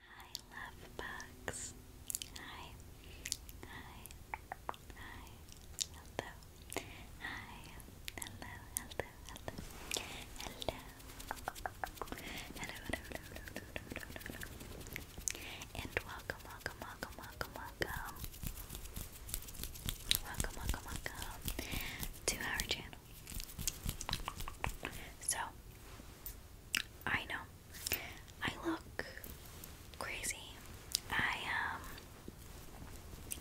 Hi, love bugs. Hi, hi, hi. Hello. Hi. Hello. Hello. Hello. Hello. Hello. Hello. Hello. Hello. Hello. Hello. And welcome, welcome, welcome, welcome, welcome. Welcome, welcome, welcome to our channel. So. I know I look crazy. I um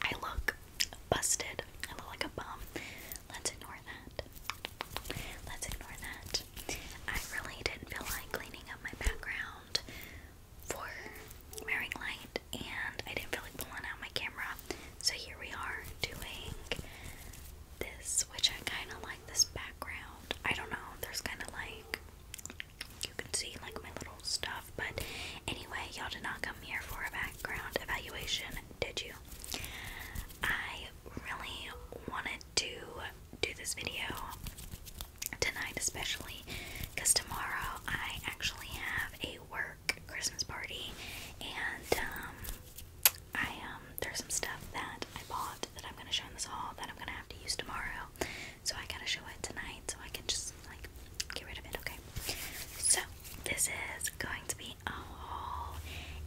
I look busted. I look like a bum. Let's ignore that. Let's ignore that. I really didn't feel like cleaning up my background for wearing light and I didn't feel like pulling out my camera. So here we are doing this which I kind of like this background. I don't know, there's kind of like you can see like my little stuff, but anyway, y'all did not come here for a background evaluation, did you? I really wanted to do this video tonight, especially because tomorrow I actually have a work Christmas party, and um, I um there's some stuff that I bought that I'm gonna show in this haul that I'm gonna have to use tomorrow. So I gotta show it tonight so I can just like get rid of it, okay? So this is going to be a haul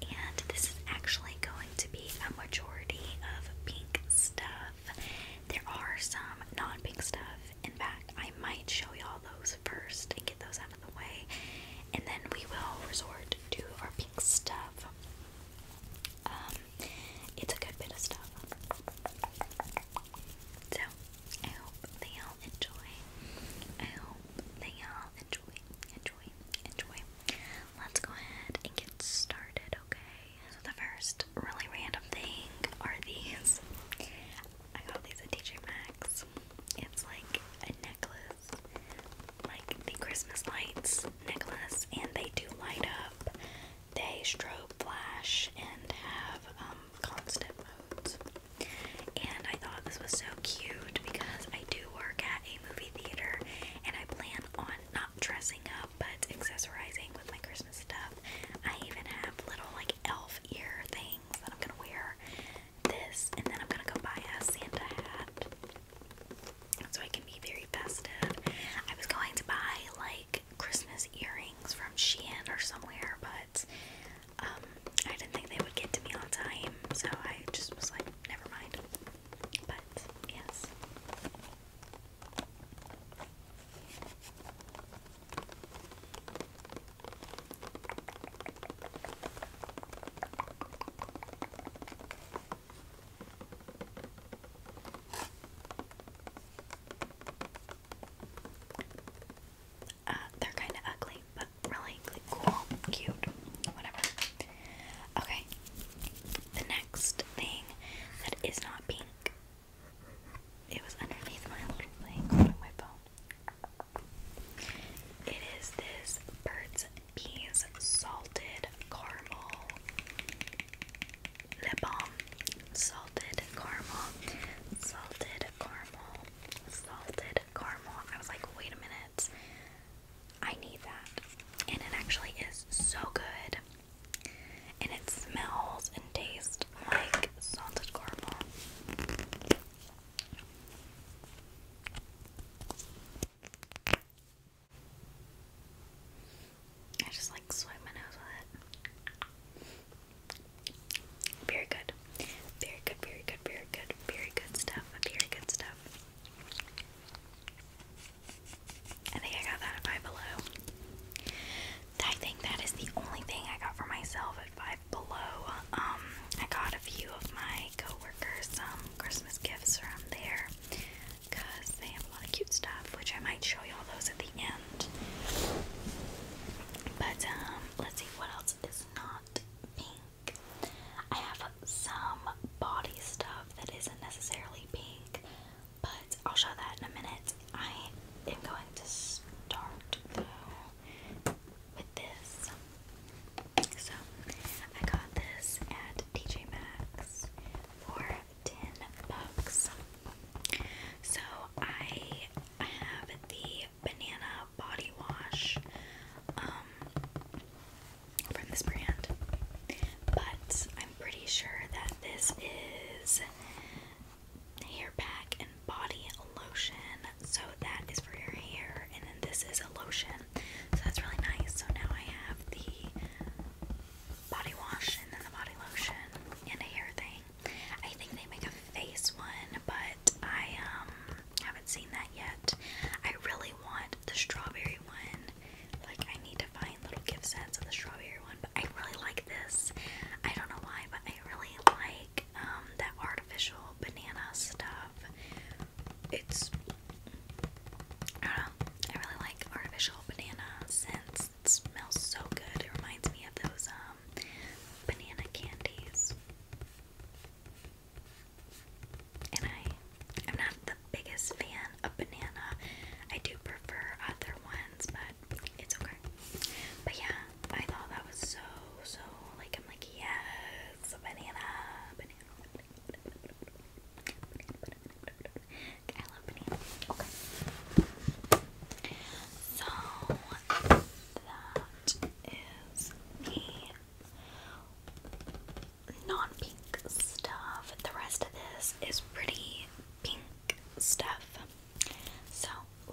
and this is actually going to be a majority of pink stuff. There are some non-pink stuff. In fact, I might show y'all those first and get those out of the way. And then we will resort to our pink stuff um, it's a good bit of stuff. So, I hope they all enjoy. I hope they all enjoy, enjoy, enjoy. Let's go ahead and get started, okay? So, the first really random thing are these. I got these at TJ Maxx. It's like a necklace like the Christmas lights necklace, and they do light up. They strobe flash and have um, constant modes. And I thought this was so cute because I do work at a movie theater, and I plan on not dressing up but accessorizing with my Christmas stuff. I even have little like elf ear things that I'm gonna wear. This, and then I'm gonna go buy a Santa hat so I can be very festive. I was going to buy like Christmas earrings from Shein or somewhere, but um, I didn't think they would get to me on time, so I just was like, never mind. But yes. Uh, they're kind of ugly, but really cool, cute, whatever. Okay, the next thing that is not pink. It was underneath my little thing on my phone. It is this bird's Peas, salted caramel lip balm, salted caramel, salted caramel, salted caramel. I was like, wait a minute, I need that, and it actually is so good, and it smells and tastes like salted caramel. I just like swipe my nose with it. Very good. Very good, very good, very good, very good stuff. Very good stuff. I think I got that at Five Below. I think that is the only thing I got for myself at Five Below. Um, I got a few of my coworker some Christmas gifts from there because they have a lot of cute stuff, which I might show you all those at the end. But um, let's see what else is not pink. I have some body stuff that isn't necessarily pink, but I'll show that in a minute. I am going to start though with this. So I got this at TJ Maxx for 10 bucks. So I have the banana body wash um, from this brand, but I'm pretty sure that this is hair pack and body lotion. So that is for your hair, and then this is a lotion so that's really nice. So now I have the body wash and then the body lotion and a hair thing. I think they make a face one, but I um haven't seen that yet. I really want the strawberry one. Like I need to find little gift sets of the strawberry one, but I really like this. I don't know why, but I really like um that artificial banana stuff it's I don't know. I really like artificial banana scents. It smells so good. It reminds me of those um, banana candies. And I I'm not the biggest fan of banana. I do prefer other ones, but it's okay. But yeah, I thought that was so so like I'm like yes, banana, banana. Okay, So that is the non-pink stuff. The rest of this is pretty pink stuff. So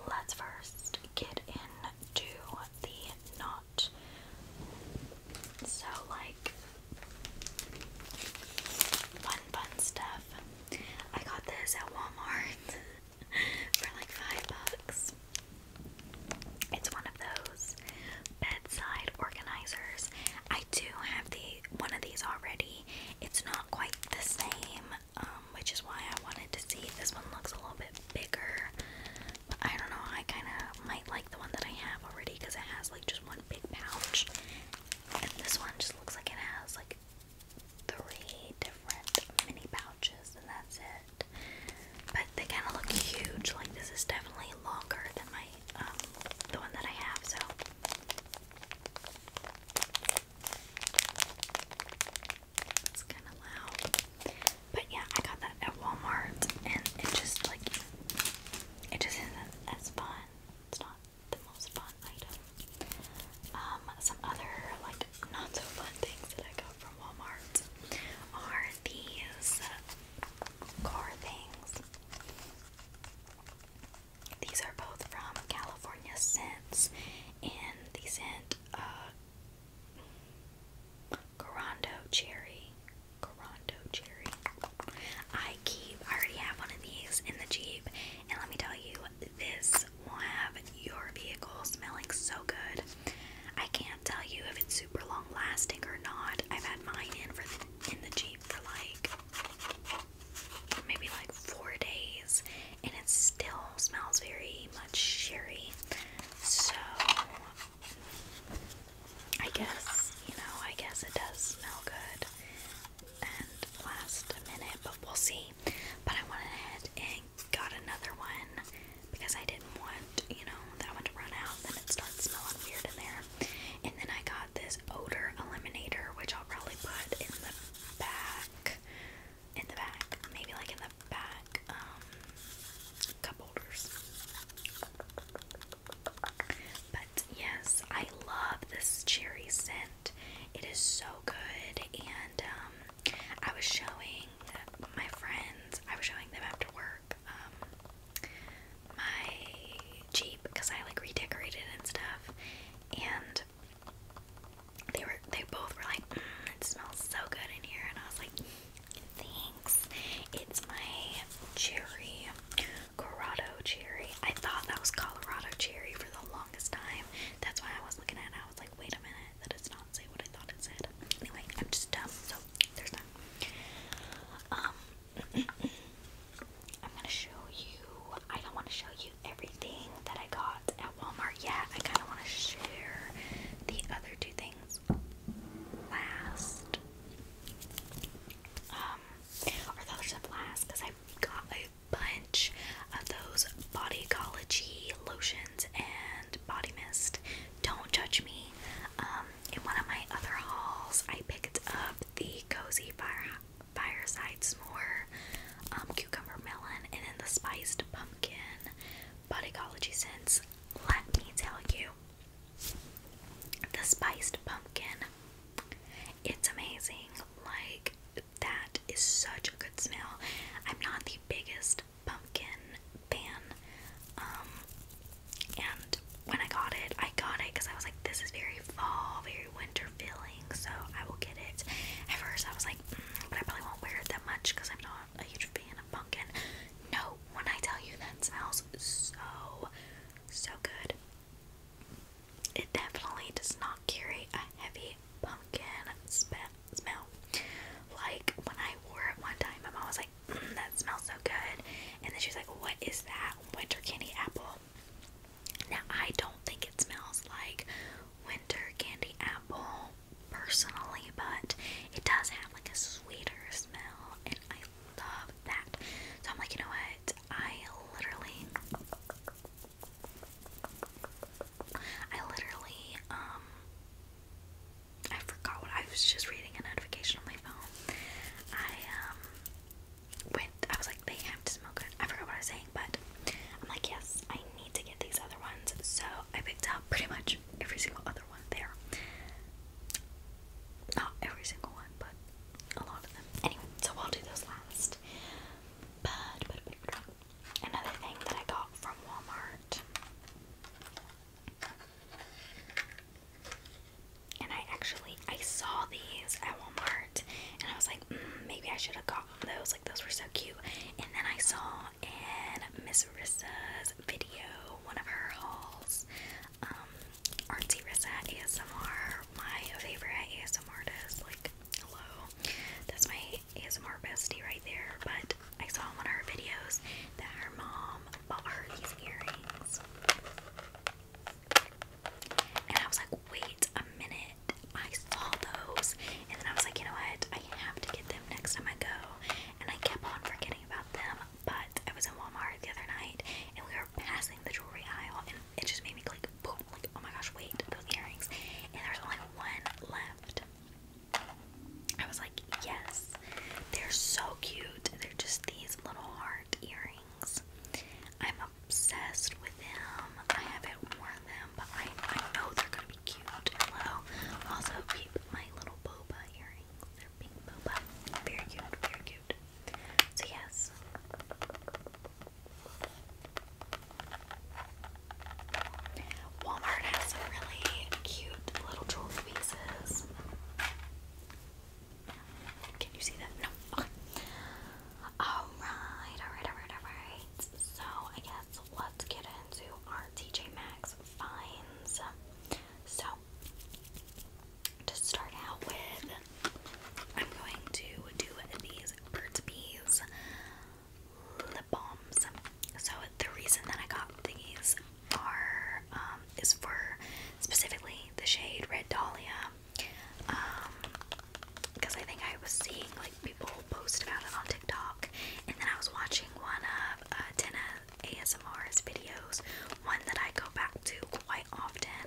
let's first get into the not so, like, fun, fun stuff. I got this at Walmart for like five bucks. It's one of those bedside organizers. I do have the one of these already. It's not quite the same, um, which is why I wanted to see. if This one looks a little bit bigger. But I don't know, I kind of might like the one that I have already because it has like just one big pouch. And this one just looks like it has like three different mini pouches and that's it. But they kind of look huge. Like this is definitely longer than my um the one that I have, so it's kind of loud. But yeah, I got that at Walmart, and it just like it just isn't as fun. It's not the most fun item. Um, some other like not so fun things that I got from Walmart are these car things. These are both from California Scents, and the scent uh, Corondo cherry. Corondo cherry. I keep, I already have one of these in the Jeep, and let me tell you, this will have your vehicle smelling so good. I can't tell you if it's super long lasting or not. I've had mine in for the, in the Jeep for like maybe like four days, and it still smells very much cherry. So I guess, you know, I guess it does smell good and last a minute, but we'll see. But I went ahead and got another one because I didn't want, you know, that one to run out, then it starts smelling weird in there. And then I got this odor eliminator, which I'll probably put in the back. In the back, maybe like in the back um, cup But yes, I love this cherry scent. It is so good, and um, I was showing my friends. I was showing them after work um, my Jeep because I like redecorated and stuff, and they were they both were like, mm, "It smells so good in here," and I was like. Thanks. It's my cherry, Corrado cherry. I thought that was Colorado cherry for the longest time. That's why I was looking at it. I was like, wait a minute, that does not say what I thought it said. Anyway, I'm just dumb, so there's that. Um, I'm gonna show you. I don't want to show you everything that I got at Walmart yet. I kind of want to share the other two things last. Um, or those of last because I got a bunch of those Body Ecology lotions and body mist. Don't judge me. Um, in one of my other hauls, I picked up the Cozy Fire Fireside S'more um, Cucumber Melon and then the Spiced Pumpkin Body Ecology scents. Let me tell you, the spiced pumpkin. It's amazing. Like, that is such a good smell. I'm not the biggest pumpkin fan. Um, and when I got it, I got it because I was like, this is very fall, very winter feeling, so I will get it. At first, I was like, mm, but I probably won't wear it that much because I'm not a huge fan pumpkin. No, when I tell you that smells so, so good. It definitely does not carry a heavy pumpkin smell. Like when I wore it one time, my mom was like, mm, that smells so good. And then she was like, what is that? Winter candy apple. Now, I don't think it smells like winter candy apple personally, but it does have like a sweeter smell, and I love that. So I'm like, you know what? I literally, I literally, um, I forgot what I was just reading a notification on my phone. I um went. I was like, they have to smoke it. I forgot what I was saying, but I'm like, yes, I need to get these other ones. So I picked up pretty much every single other one there. Not every single one, but a lot of them. Anyway, so I'll do those last. But, another thing that I got from Walmart. And I actually I saw these at Walmart, and I was like, mm, maybe I should have gotten those. Like those were so cute. And then I saw in Miss Rissa's video, one of her hauls. Um, Rissa ASMR, my favorite ASMR artist. Like, hello, that's my ASMR bestie right there. But I saw one of her videos that her mom bought her these earrings, and I was like, wait a minute, I saw those, and then I was like, you know what, I have to get them next time I go and I kept on forgetting about them. But I was in Walmart the other night and we were passing the jewelry aisle, and it just made me click, like, oh my gosh, wait, those earrings. And there only one left. I was like, yes, they're so cute. They're just these little heart earrings. I'm obsessed with them. I haven't worn them, but I, I know they're gonna cute Also, keep my little boba earrings. They're pink boba. Very cute, very cute. So, yes. Walmart has some really cute little jewelry pieces. Can you see that? No. Alright, alright, alright, alright. So, I guess let's get into our TJ Maxx those So, to start out with, I'm going to do these Burt's lip balms. So, the reason that I got these are um, is for specifically the shade Red Dahlia. Because um, I think I was seeing like people post about it on TikTok, and then I was watching one of have uh, ASMRs videos. One that I go back to quite often.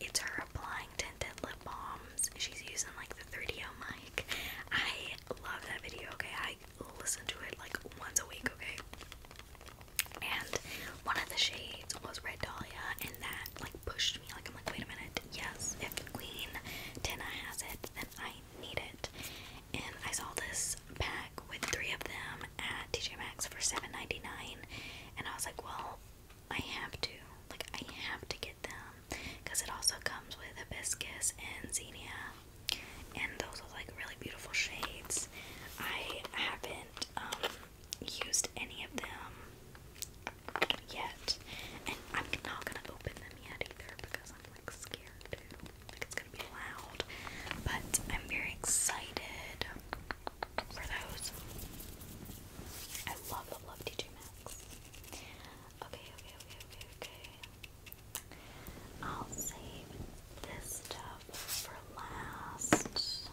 It's her applying tinted lip balms. She's using like the 3 d mic. I love that video, okay? I listen to it like once a week, okay? And one of the shades was Red Dahlia, and that like pushed me. Like, I'm like, wait a minute, yes, if Queen Tina has it, then I need it and I saw this pack with three of them at TJ Maxx for $7.99 and I was like, well, I have to. Like, I have to get them because it also comes with hibiscus and zinnia, and those are like really beautiful shades. I haven't um, used any of them yet, and I'm not gonna open them yet either because I'm like scared to. Like it's gonna be loud, but I'm very excited for those. I love, love, love TJ Maxx. Okay, okay, okay, okay, okay. I'll save this stuff for last.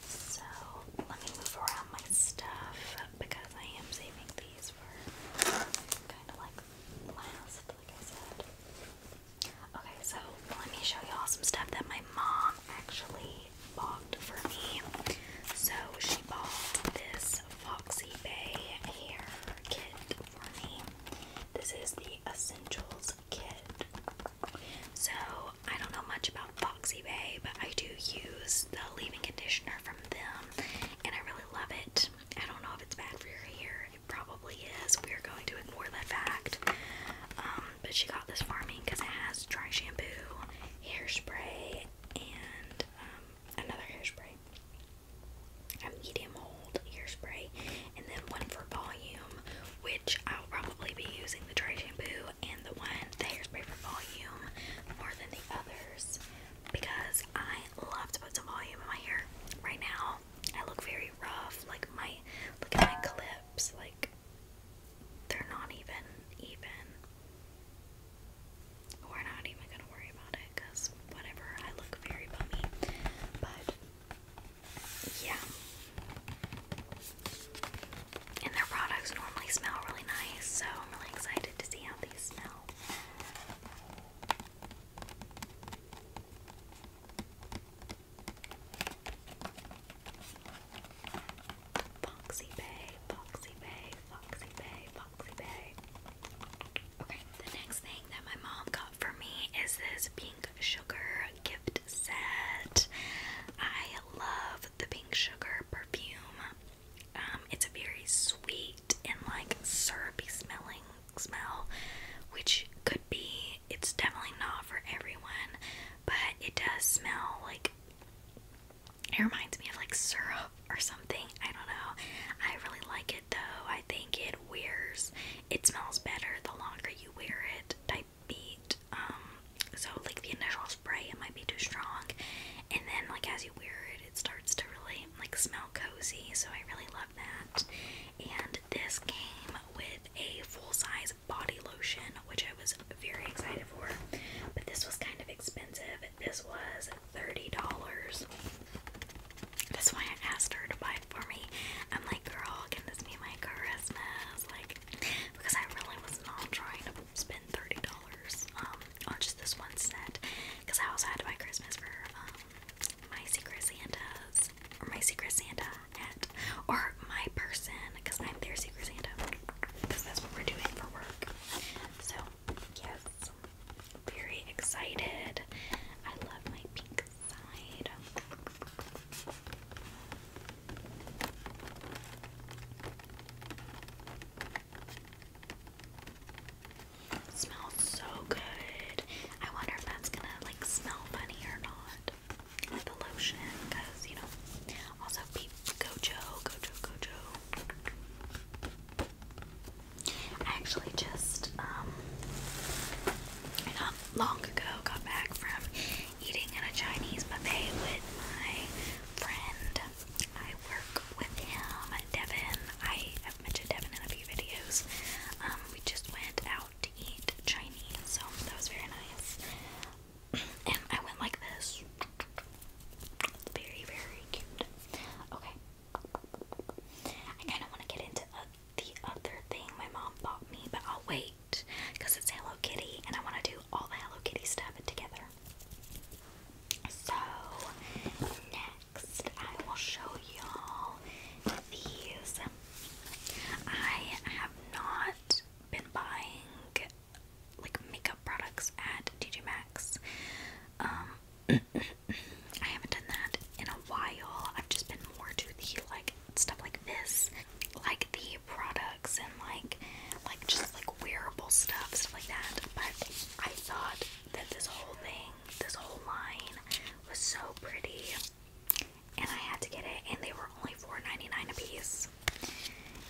So let me move around my stuff because I am saving these for kind of like Okay, so let me show y'all some stuff that my mom actually bought for me. So she bought this Foxy Bay hair kit for me. This is the Essentials kit. So I don't know much about Foxy Bay, but I do use the leave-in conditioner from them, and I really love it. I don't know if it's bad for your hair. It probably is. We're going to ignore that fact. Um, but she got this for me because it has dry shampoo, hairspray, and um, another hairspray. A medium hold hairspray, and then one for volume, which I'll probably be using the dry shampoo and the one, hairspray for volume, more than the others because I love to put some volume in my hair. Right now, I look very rough. Like my look at my clips, like they're not even even. We're not even gonna worry about it because whatever. I look very bummy, but yeah. And their products normally smell really nice, so I'm really excited to see how these smell. Foxy Bay, Foxy Bay, Foxy Bay, Foxy Bay. Okay, the next thing that my mom got for me is this pink sugar gift set. I love the pink sugar perfume. Um, it's very sweet and like syrupy smelling smell, which could be, it's definitely not for everyone, but it does smell like it reminds me of like syrup or something. I don't know. I really like it though. I think it wears, it smells better the longer you wear it type beat. Um, so like the initial spray, it might be too strong, and then like as you wear it, it, starts to really like smell cozy, so I really love that. And this came with a full-size body lotion, which I was very excited for. But this was kind of expensive. This was $30. That's why I asked her to buy it for me. I'm like, girl, can this be my Christmas? Like, because I really was not trying to spend $30 um, on just this one set. Because I also had to buy Christmas for um, my secret Santas or my secret Santa or my person because I'm their secret Santa because that's what we're doing for work. So yes, very excited. I love my pink side. It smells so good. I wonder if that's gonna like smell funny or not. The lotion, because you know, also gojo, gojo, gojo. actually just um not long ago got back from eating at a Chinese buffet with my friend. I work with him, Devin. I i mentioned Devin in a few videos. Um, we just went out to eat Chinese, so that was very nice. And I went like this. Very, very cute. Okay. I kind of want to get into uh, the other thing my mom bought me, but I'll wait because it's Hello Kitty and I want to do all the Hello Kitty stuff together. So next I will show y'all these. I have not been buying like makeup products at TJ Maxx. Um I haven't done that in a while. I've just been more to the like stuff like this, like the products and like like just like wearable stuff, stuff like that. But I thought that this whole thing this whole line was so pretty, and I had to get it. And they were only 4 dollars a piece,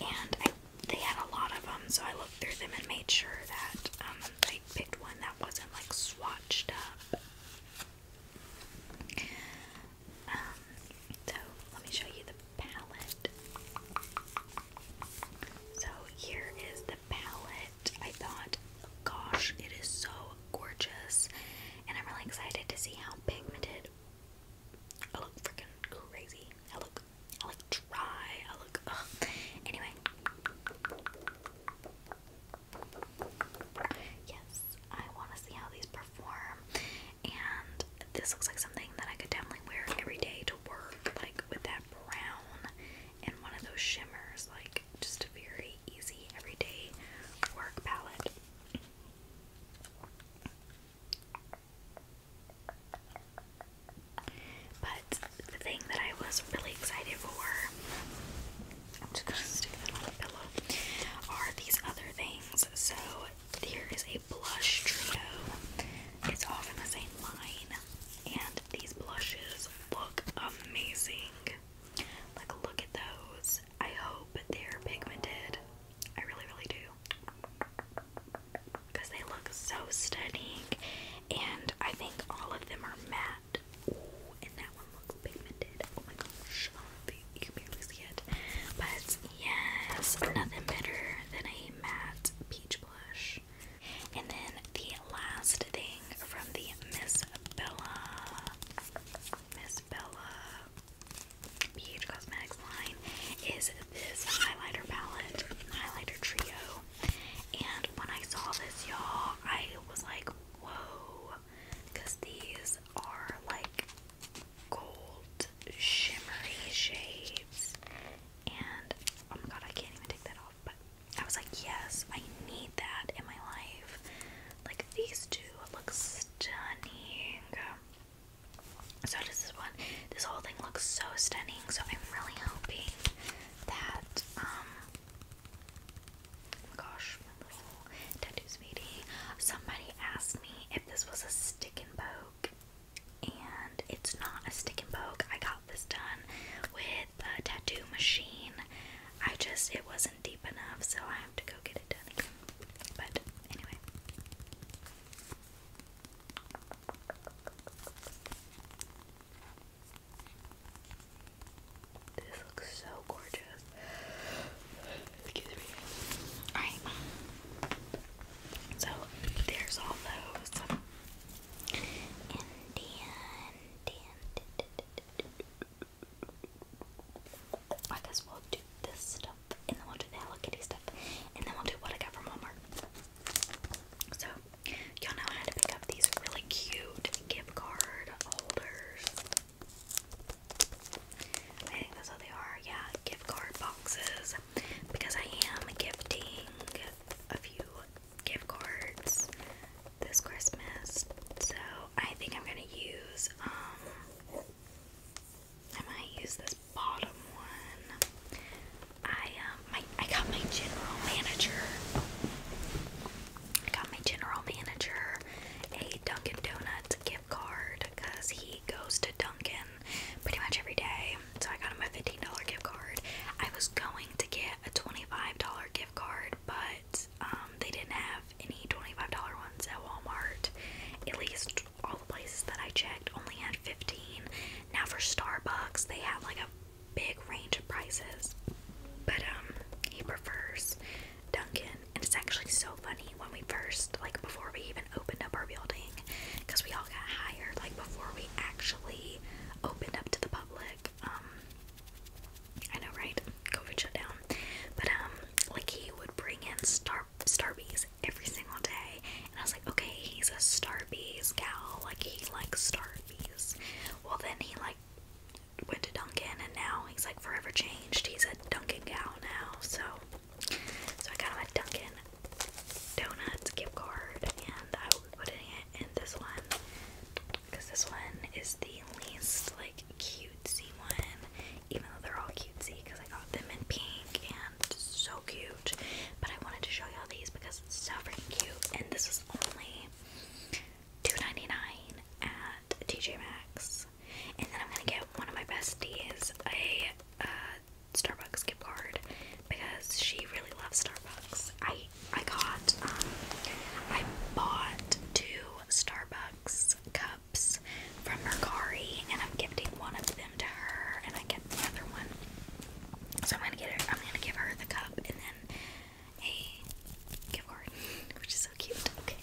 and I, they had a lot of them. So I looked through them and made sure that um, I picked one that wasn't like swatched up. Um, so let me show you the palette. So here is palette, I thought, gosh, it is so gorgeous. And I'm really excited to see how pigmented. I look freaking crazy. I look, I look dry. I look. Ugh. Anyway, yes, I want to see how these perform. And this looks like something that I could definitely wear every day to work, like with that brown and one of those shimmers, like just a very easy everyday work palette. But the thing that I was really excited for, are these other things. So here is a blush trio. It's all from the same line, and these blushes look amazing. Like, look at those. I hope they're pigmented. I really, really do. Because they look so stunning. And I think all of them are matte. Ooh, and that one looks pigmented. Oh my gosh. You can barely see it. But yes, nothing better than a matte peach blush. And then the last thing from the Miss Bella, Miss Bella Huge Cosmetics line is this highlighter palette, highlighter trio. And when I saw this, y'all, I was like, whoa, because these are like gold shimmery shades. And oh my god, I can't even take that off but I was like, yes, I need that in my life. Like these two look stunning. So does this one. This whole thing looks so stunning. So I'm really hoping that um oh my gosh, my little tattoo sweetie. Somebody asked me if this was a stick and poke. And it's not a stick and poke. I got this done with the tattoo machine. I just, it wasn't deep enough, so I have to go get it done But anyway. This looks so gorgeous. Alright. So there's all those. Indian, Indian. I guess we'll do this stuff, and then we'll do the Hello Kitty stuff, and then we'll do what I got from Walmart. So, y'all know I had to pick up these really cute gift card holders. I think that's what they are. Yeah, gift card boxes. Because I am gifting a few gift cards this Christmas. So I think I'm gonna use um I might use this bottom one. I um my I got my general manager. I got my general manager a Dunkin' Donuts gift card because he goes to Dunkin' pretty much every day so I got him a $15 gift card. I was going to get a $25 gift card, but um, they didn't have any $25 ones at Walmart. At least all the places that I checked only had 15. Now for Starbucks, they have like a big range of prices. But um, he prefers Duncan and it's actually so funny when we first like before we even opened up our building because we all got hired like before we actually opened up to the public. Um, I know, right? COVID shut down. But, um, like, he would bring in star Starbies every single day. And I was like, okay, he's a Starbies gal. Like, he likes Starbies. Well, then he, like, went to Duncan, and now he's, like, forever changed. He's a Duncan gal now. So, so I got him a Duncan donuts gift card, and I will be putting it in this one because this one is the least like cutesy one, even though they're all cutesy because I got them in pink and so cute. But I wanted to show y'all these because it's so freaking cute, and this is only $2.99 at TJ Maxx. And then I'm gonna get one of my besties a uh, Starbucks gift card because she really loves Starbucks. I I got um I bought two Starbucks cups from Mercari and I'm gifting one of them to her and I get the other one. So I'm gonna get her I'm gonna give her the cup and then a gift card, which is so cute. Okay.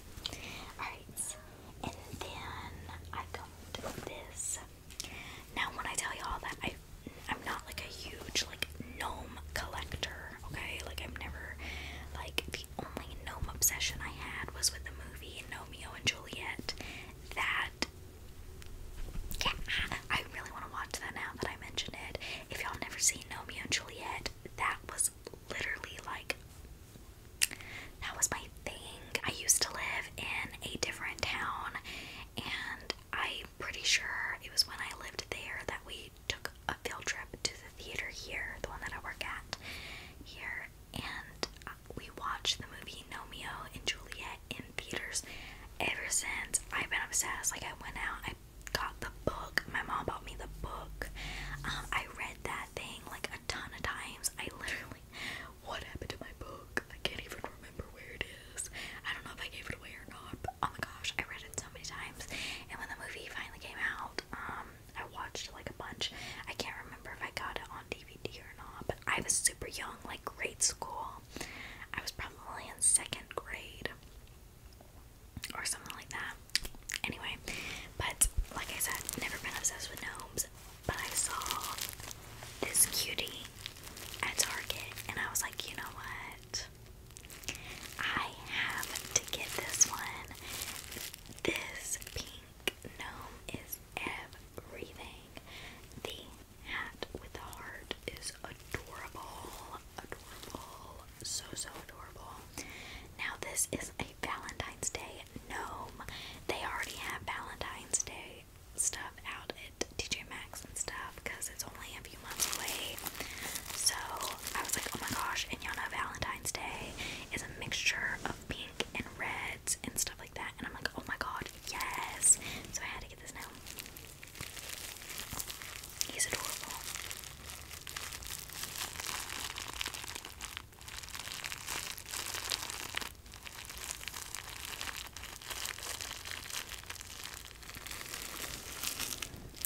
Alright. And then I got this now, when I tell you all that, I I'm not like a huge like gnome collector. Okay, like I've never like the only gnome obsession I had was with the movie Romeo and Juliet. That yeah, I really want to watch that now that I mentioned it. If y'all never seen Romeo and Juliet, that was literally like that was my thing. I used to live in a different town and I pretty sure it was when I lived there that we took a field trip to the theater here, the one that I work at here, and uh, we watched the movie Nomeo and Juliet in theaters. Ever since, I've been obsessed. Like, I went out, I got the book. My mom bought me the book. Um, I read that thing like a ton of times. I literally, what happened to my book? I can't even do remember where it is. I don't know if I gave it away or not, but oh my gosh, I read it so many times. And when the movie finally came out, um, I watched it like a bunch. I can't remember if I got it on DVD or not, but I was super young, like grade school. I was probably in second grade or something like that. Anyway, but like I said, never been obsessed with gnomes, but I saw this cutie at Target, and I was like, you know what? I have to get this one. This pink gnome is everything. The hat with the heart is adorable. Adorable. So, so adorable. Now, this is a Valentine's Day gnome. They already have Valentine's Day stuff out at TJ Maxx and stuff because it's only a few months away. So I was like, oh my gosh, and y'all know Valentine's Day is a mixture of pink and reds and stuff like that. And I'm like, oh my god, yes. So I had to get this now. He's adorable.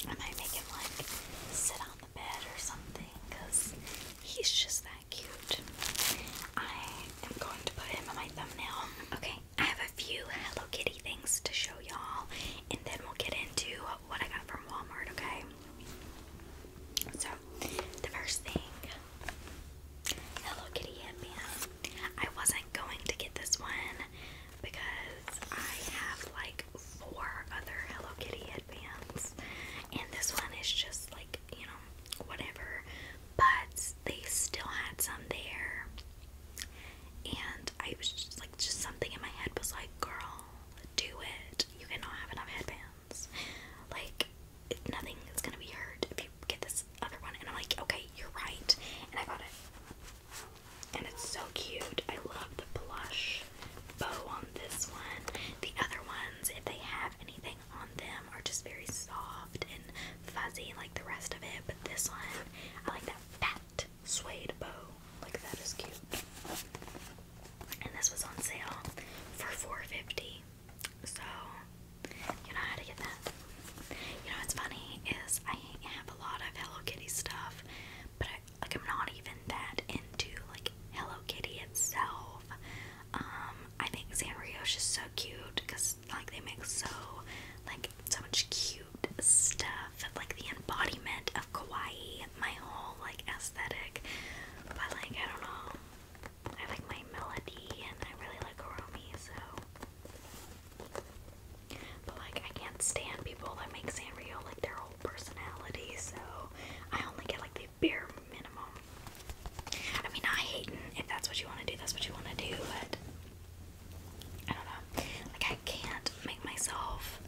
I might make him like sit on the bed or something because he's just that cute. I am going to put him in my thumbnail. Okay, I have a few Hello Kitty things to show y'all and then we'll get into what I got from Walmart, okay? So, the first thing Hello Kitty headband. I wasn't going to get this one because I have like four other Hello Kitty headbands, and this one is just like you know whatever. But they still had some there, and I was just like just something in my head was like, "Girl, do it. You cannot have enough headbands. Like." Nothing is gonna be hurt get this other one. And I'm like, okay, you're right. And I got it. And it's so cute. I love the plush bow on this one. The other ones, if they have anything on them, are just very soft and fuzzy like the rest of it. But this one, I like that fat suede bow. Like that is cute. And this was on sale for $4.50. So you know how to get that? You know what's funny is I have a lot of Hello Kitty stuff, but like I'm not even that into like Hello Kitty itself. Um, I think Sanrio's just so cute because like they make so like so much cute stuff, like the embodiment of kawaii, my whole like aesthetic. But like I don't know, I like my melody and I really like Oromi, so but like I can't stand people that make Sanrio like their whole personality, so I only get like the bare minimum. I mean not hating if that's what you want to do, that's what you want to do, but I don't know. Like I can't make myself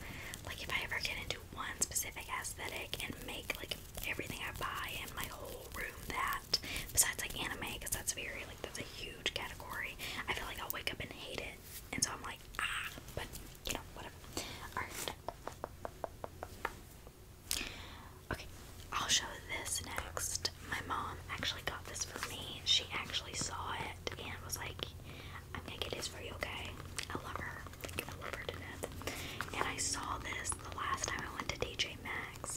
like if I ever get into one specific aesthetic and make like everything I buy and my whole room that besides like anime that's very like that's a huge category. I feel like I'll wake up and hate it, and so I'm like ah, but you know whatever. Okay, I'll show this next. My mom actually got this for me. She actually saw it and was like, "I'm gonna get this for you, okay?" I love her. I love her to death. And I saw this the last time I went to DJ Maxx.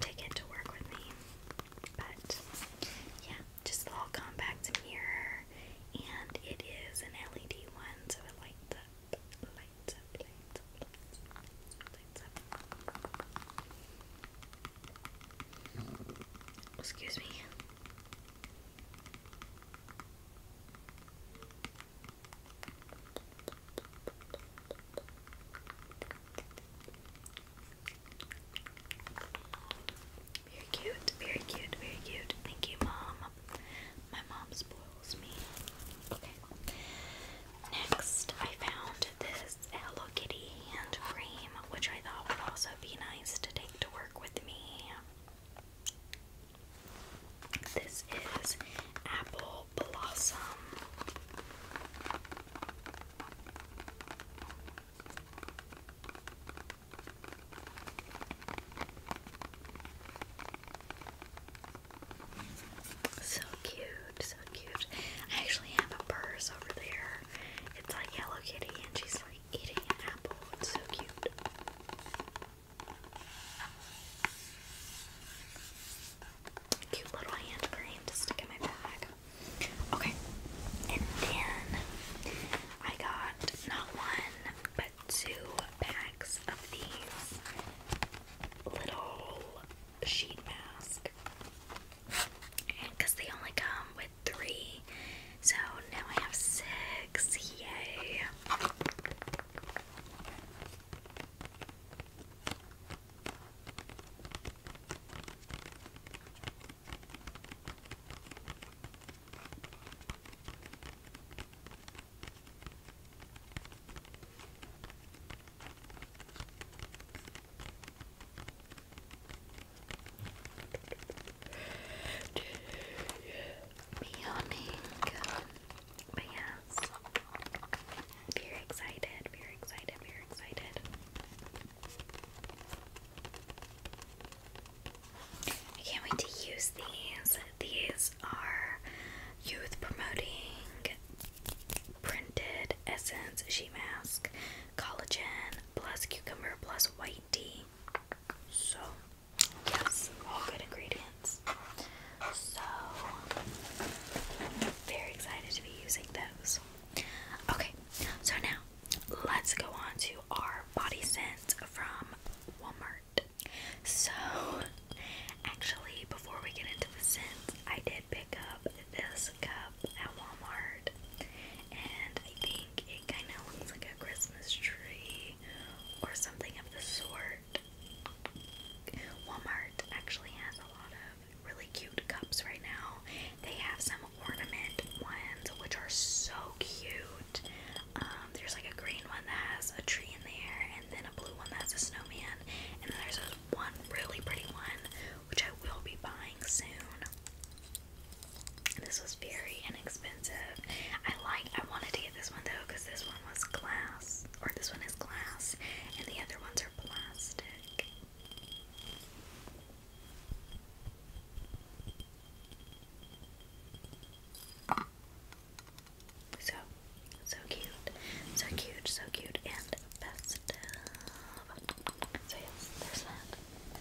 take it to work with me. But yeah, just a little compact mirror, and it is an LED one, so it lights up. Oh, excuse me. Very cute, very cute, very cute. Thank you, Mom. My mom spoils me. Okay. Next, I found this Hello Kitty hand cream, which I thought would also be nice to take to work with me. This is apple Blossom. So cute, so cute. I actually have a purse over there. It's like Hello Kitty, and she's like eating an apple. It's so cute cute little hand cream to stick in my bag. Okay, and then I got not one but two bags of these little sheet masks because they only come with three, so now I have six. Yay! Yawning. But yes, very excited, very excited, very excited. I can't wait to use these. These are Youth Promoting Printed Essence Sheet Mask Collagen Plus Cucumber Plus White Tea. So, yes, all good ingredients. So, I'm very excited to be using those. Okay, so now let's go on to our body scent from Walmart. So, actually, before we get into the scents, I did pick up this cup at Walmart, and I think it kind of looks like a Christmas tree or something of the sort. Walmart actually has a lot of really cute cups right now. They have some ornament ones which are so cute. Um, there's like a green one that has a tree in there, and then a blue one that has a snowman, and then there's a one really pretty one which I will be buying soon. This was very inexpensive. I like. I wanted to get this one though because this one was glass, or this one is and the other ones are plastic. So, so cute, so cute, so cute, and festive. So yes, there's that.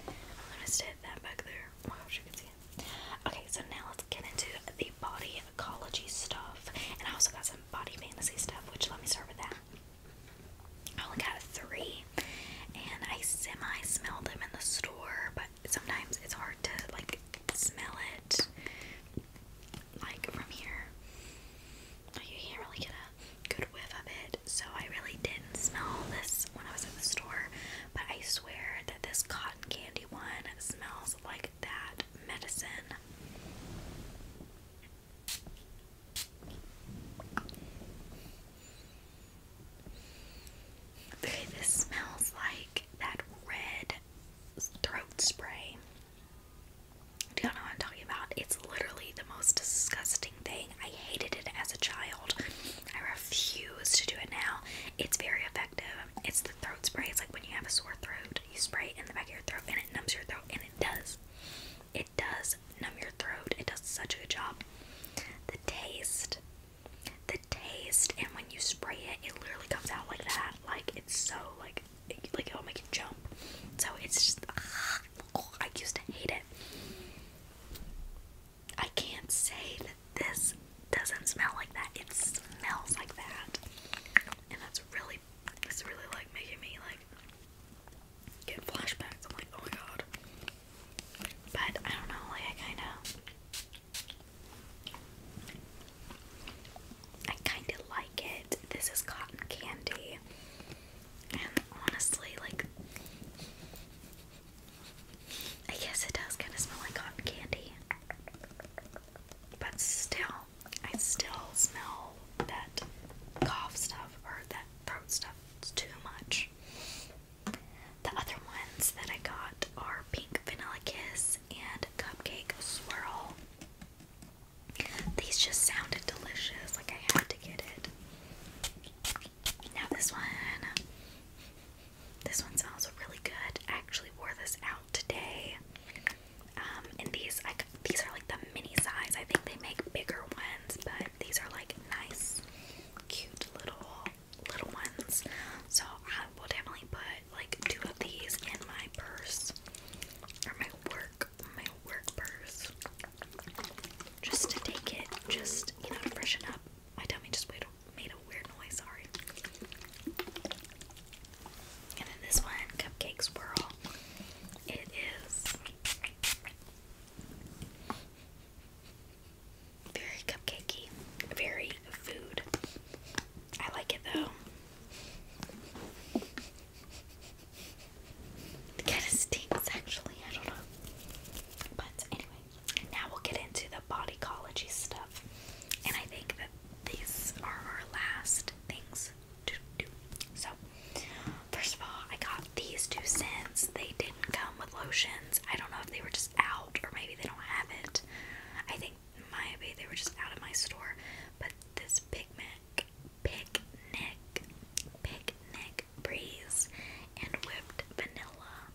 I'm stick that back there. Oh my gosh, you can see it. Okay, so now let's get into the body ecology stuff, and I also got some body fantasy stuff, which let me start with that. I only got three, and I semi smelled them in the store, but sometimes it's hard to like smell it like from here. You can't really get a good whiff of it, so I really didn't smell this when I was in the store. But I swear that this cotton candy one smells like that medicine. Okay, this smells like that red throat spray. Do you know what I'm talking about? It's literally the most disgusting thing. I hated it as a child. I refuse to do it now. It's very effective. It's the throat spray. It's like when you have a sore throat you spray it in the back of your throat and it numbs your throat, and it does. It does numb your throat. It does such a good job. The taste, the taste, and when you spray it, it literally comes out like that. Like it's so like, like it'll make you jump. So it's just, I used to hate it. I can't say that this doesn't smell like that. It smells like that, and that's really it's really like making me like get flashbacks. I'm like, oh my god. But I don't know, like I kind I kinda like it. This is cotton candy. And honestly, like I guess it does kinda smell like cotton candy. But still, I still smell that cough stuff or that throat stuff. It's too much. The other ones that I got are Pink Vanilla Kiss and Cupcake Swirl. These just sounded delicious, like I had to get it. Now this one, this one smells really good. actually wore this out today. Um, and these, I, these are like the mini size. I think they make bigger ones, but these are like nice, cute little little ones. So I will definitely put like two of these in my purse or my work, my work purse, just to take it, just you know, to freshen up. My tummy just made a, made a weird noise. Sorry. And then this one, Cupcake Swirl. It is very cupcakey, very food. I like it though. It kind of stinks actually, I don't know. But anyway, now we'll get into the bodycology stuff. And I think that these are our last things to do. So, first of all, I got these two scents. They didn't come with lotions. I don't know if they were just out or maybe they don't have it. I think maybe they were just out of my store. But this picnic, picnic, picnic breeze and whipped vanilla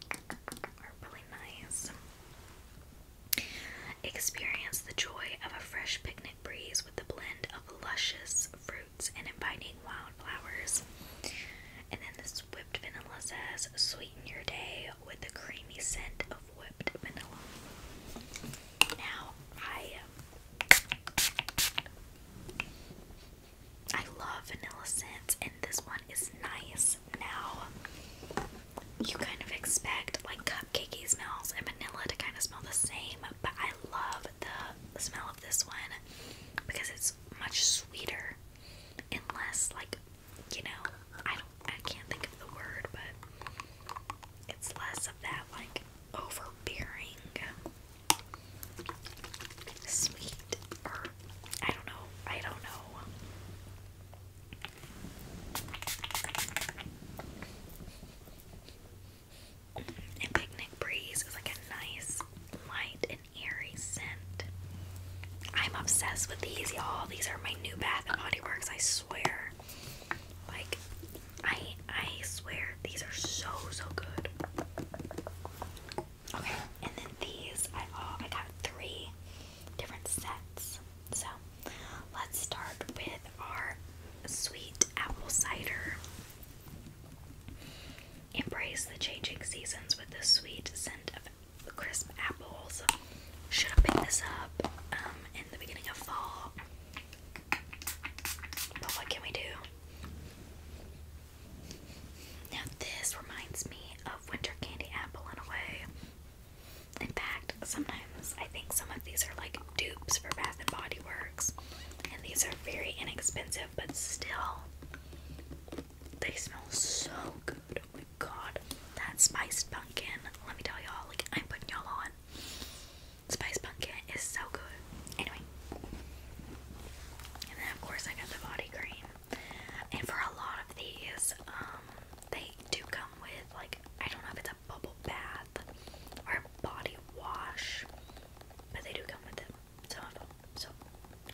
are really nice. Experience the joy of a fresh picnic breeze with the blend of luscious fruits and inviting wildflowers. And then this whipped vanilla says, sweeten your day with the creamy scent of whipped vanilla. Now, I I love vanilla scents, and this one is nice. Now, you kind of expect like cupcakey smells and vanilla to kind of smell the same, but I love the smell of this one because it's much sweeter and less like you know I don't I can't think of the word, but it's less of that like overbearing sweet I don't know I don't know and Picnic Breeze is like a nice, light, and airy scent. I'm obsessed with these, y'all. These are my new Bath and Body Works, I swear. Like, I I swear these are so so good. Okay, and then these I uh, got three different sets. So Let's start with our sweet apple cider. Embrace the changing seasons with the sweet scent of crisp apples. Should have picked this up um, in the beginning of fall. But what can we do? Now, this reminds me of winter candy apple in a way. In fact, sometimes I think some of these are like dupes for Bath and Body Works. And these are very inexpensive, but still, they smell so good. Oh my god. That spiced pumpkin, let me tell y'all, like, I'm putting y'all on. Spiced pumpkin is so good. Anyway. And then, of course, I got the body cream. And for a lot of these, um, they do come with like I don't know if it's a bubble bath or body wash, but they do come with them. so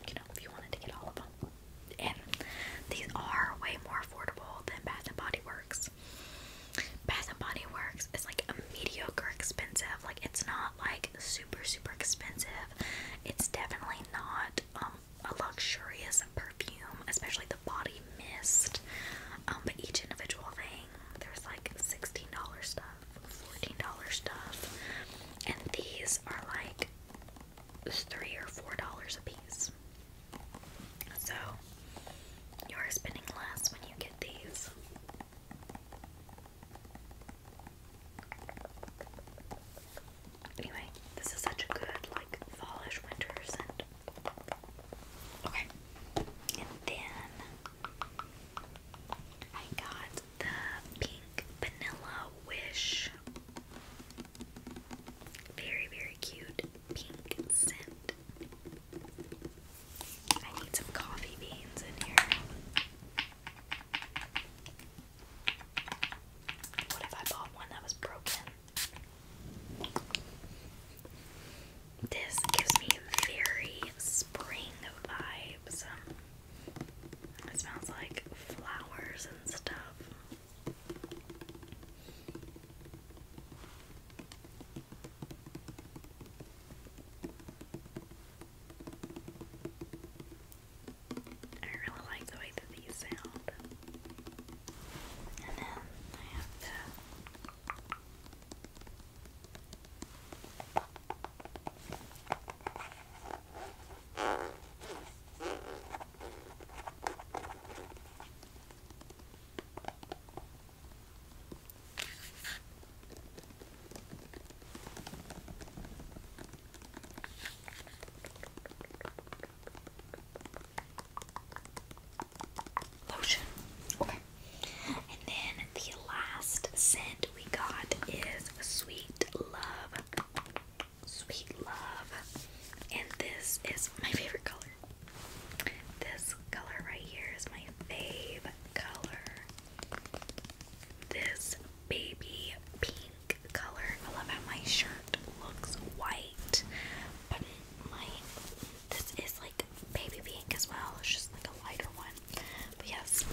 you know if you wanted to get all of them, and these are way more affordable than Bath and Body Works. Bath and Body Works is like a mediocre expensive, like it's not like super super expensive. It's definitely not um a luxurious perfume, especially the body mist. Um, but each individual thing, there's like $16 stuff, $14 stuff, and these are like three or four dollars a piece. So you are spending less when you get these. Anyway, this is such a good like fallish winter scent. Okay. And then I got the pink vanilla wish. Very, very cute pink scent. I need some coffee beans in here. What if I bought one that was broken? This gives me very spring vibes. It smells like flowers and stuff. I really like the way that these sound. And then I have the Lotion. Okay. And then the last scent we got is Sweet Love. Sweet Love. And this is my favorite color. This color right here is my fave color. This baby pink color. I love how my shirt looks white but my this is like baby pink as well. It's just like a lighter one. But yes,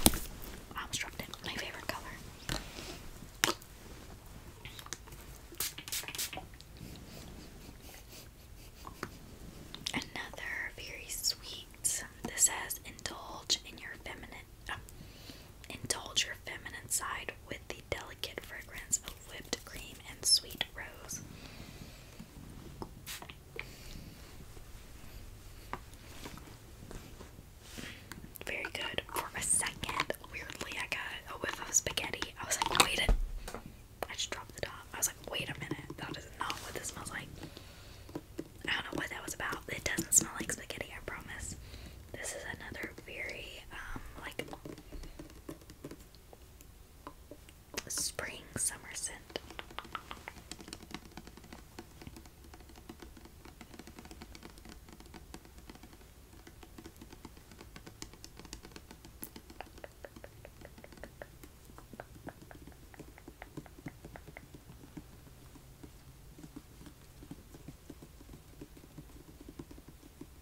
Armstrong did my favorite color. Another very sweet. This says indulge in your feminine, um, indulge your feminine side the delicate fragrance of whipped cream and sweet rose. Very good. For a second, weirdly, I got a whiff of spaghetti. I was like, wait a I just dropped the top. I was like, wait a minute, that is not what this smells like. I don't know what that was about. It doesn't smell like spaghetti, I promise. This is another very, um, Spring summer scent.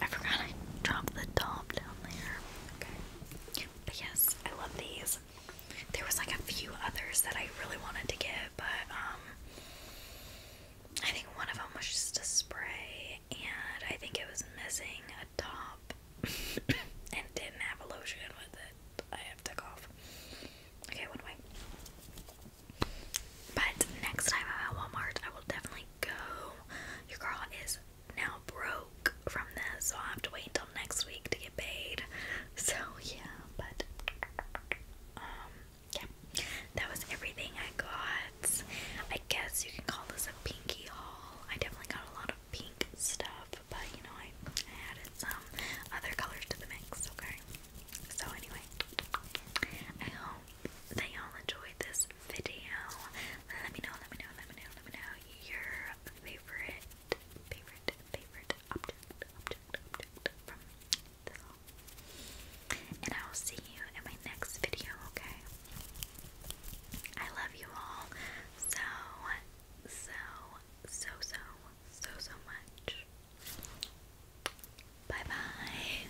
I forgot I dropped the top down there. Okay. But yes, I love these. There was like a few others that I really wanted to get, but um, I think one of them was just a spray and I think it was missing a top and didn't have a lotion with it. I have to cough. Okay, one way. But next time I'm at Walmart, I will definitely go. Your girl is now broke from this, so i have to wait until next week to get paid. So yeah, but um yeah. That was everything I got. I guess you can call this a pinky haul. I definitely got a lot of pink stuff, but you know I, I added some other colors to the mix, okay? So anyway, I hope that all enjoyed this video. Let me know, let me know, let me know, let me know your favorite, favorite, favorite And I will see you in my next video, okay? I love you all so, so, so, so, so, so much. Bye bye.